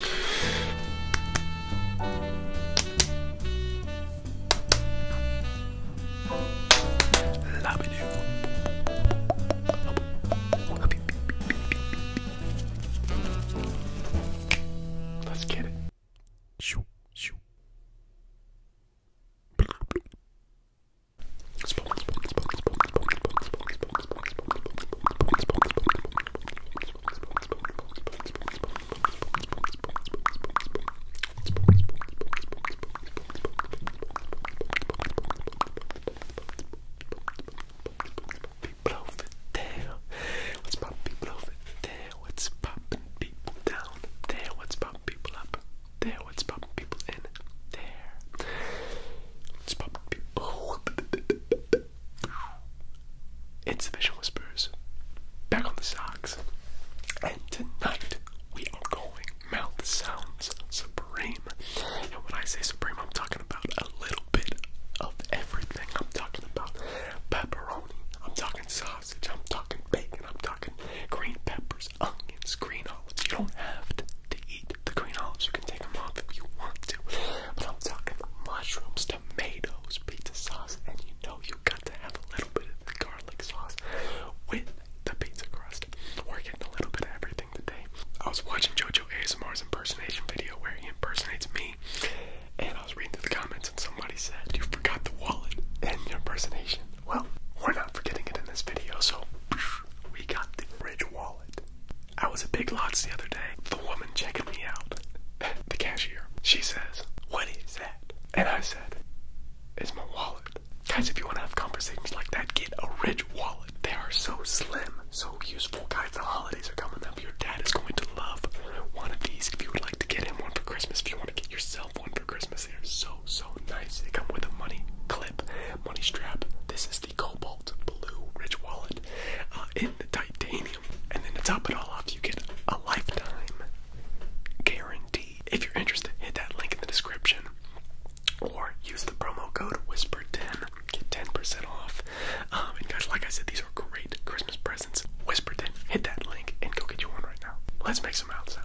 Love you. Let's get it. Shoo, shoo. People over what's poppin' people over What's poppin' people down there? What's poppin' people up there? What's poppin' people in there? What's poppin' It's the Vision Whispers back on the socks. And tonight we are going Mouth Sounds Supreme. And when I say supreme, I'm talking about a little bit of everything. I'm talking about pepperoni, I'm talking sausage, I'm talking bacon, I'm talking green peppers, onions, green olives. You don't have to eat the green olives, you can take them off if you want to. But I'm talking mushrooms, tomatoes, pizza sauce, and you know you got to have a little bit of the garlic sauce with the pizza crust. We're getting a little bit of everything today. I was watching JoJo ASMR's impersonation video where he impersonates me, and I was reading through the comments, and somebody said, You forgot the wallet and your impersonation. Well, we're not forgetting it in this video, so we got the bridge wallet. I was at Big Lots the other day. The woman checking me out, the cashier, she says, What is that? And I said, It's my wallet. Guys, if you want to have conversations like that, get a rich wallet. They are so slim, so useful. Guys, the holidays are coming up. Your dad is going to love one of these. If you would like to get him one for Christmas, if you want to get yourself one for Christmas, they are so, so nice. They come with a money clip, money strap. This is the cobalt blue rich wallet uh, in the titanium. And then to top it all off, you get a lifetime guarantee. If you're interested, hit that link in the description or use the promo code WHISPER10. Get 10% off. Um, and guys, like I said, these are great Christmas presents. WHISPER10, hit that link and go get you one right now. Let's make some mouth sounds.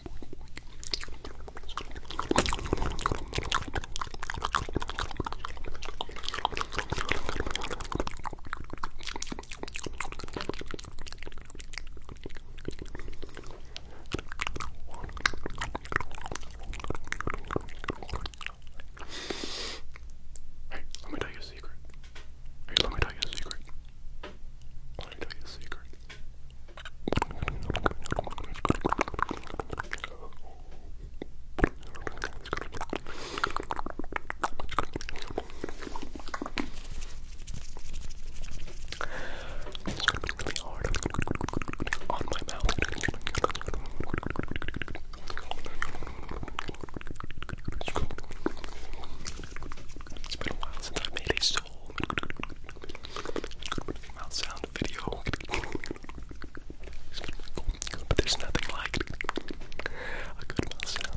Hey, let me tell you a secret. Hey, let me tell you a secret. Let me tell you a secret. It's gonna be really hard on my mouth. It's been a while since I made a so mouth sound video. But there's nothing like a good mouth sound.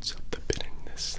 Stop the bitterness.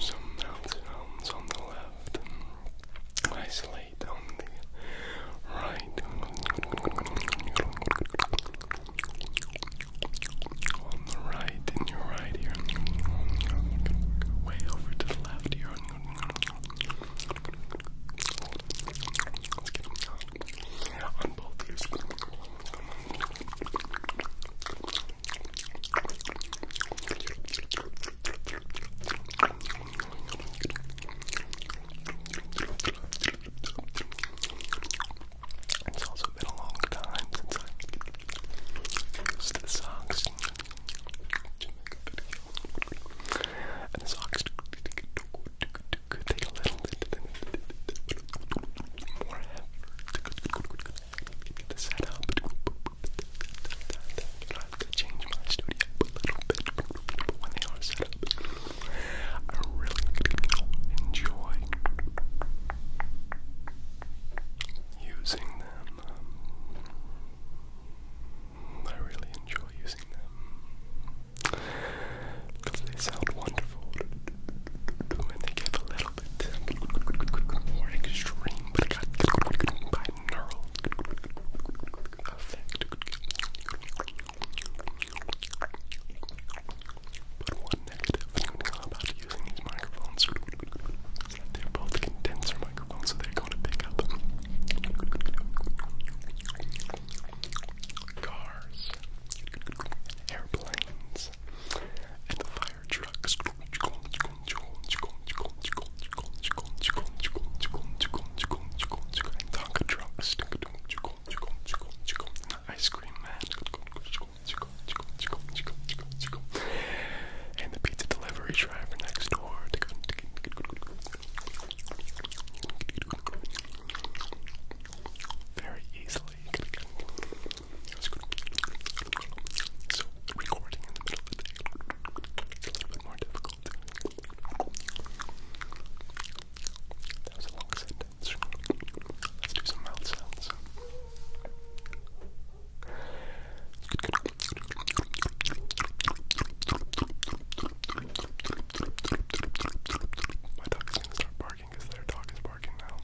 Some mouth sounds on the left, isolated light on the right, on the right, in your right ear, way over to the left ear. on both ears. It's also been a long time since I used the socks And the socks take a little bit more effort to set up. I have to change my studio a little bit when they are set up. I really enjoy using them. Um, I really enjoy using them because they sound wonderful and they give a little bit more extreme, but got binaural effect. But one negative about using these microphones, they're both condenser microphones, so they're going to pick up cars, airplanes, and the fire trucks and Tonka Drunk, and Ice Cream Man, and the pizza delivery driver next door. Very easily. So, recording in the middle of the day is a little bit more difficult. That was a long sentence. Let's do some mouth sounds. My dog is gonna start barking because their dog is barking now.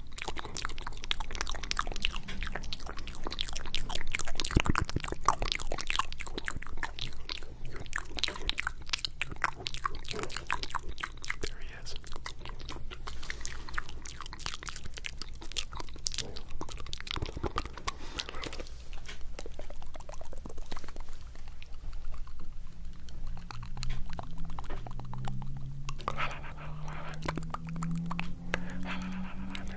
There he is.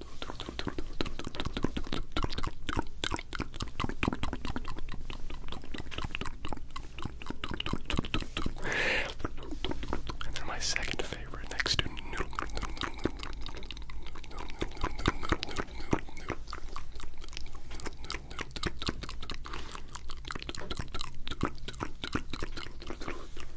and then my second favorite next to noodle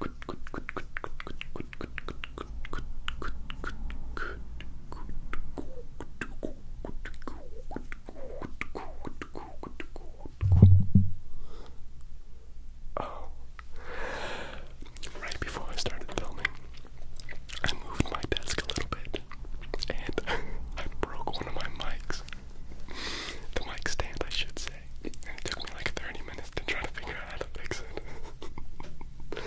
Oh. Right before I started filming, I moved my desk a little bit and I broke one of my mics the mic stand, I should say. And it took me like 30 minutes to try to figure out how to fix it.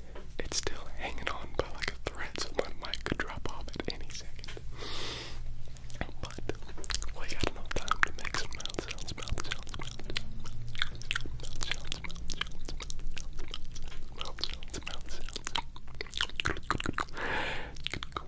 it's still hanging on by like a thread, so my mic could drop off at any second. But we got enough time to make some mouth sounds, mouth sounds, mouth sounds, mouth sounds, mouth sounds, mouth sounds, mouth sounds, mouth sounds,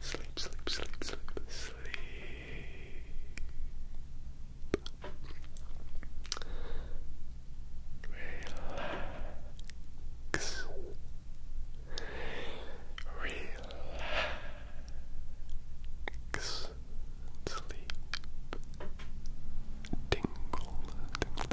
sleep, sleep, sleep, sleep, sleep. Relax. Relax. Sleep. Tingle,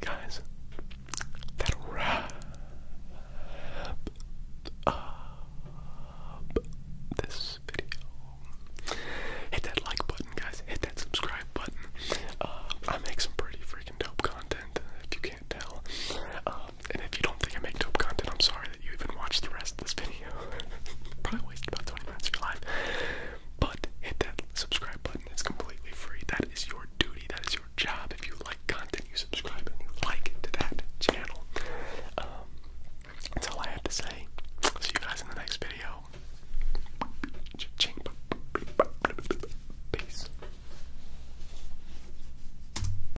Guys, that'll wrap up uh, this video. Hit that like button, guys. Hit that subscribe button. Uh, I make some pretty freaking dope content, if you can't tell. Uh, and if you don't think I make dope content, I'm sorry that you even watched the rest of this video. Probably wasted about 20 minutes of your life. But hit that subscribe button, it's completely free. That is your duty, that is your job. If you like content, you subscribe and you like to that channel. Um, that's all I have to say. See you guys in the next video. Peace.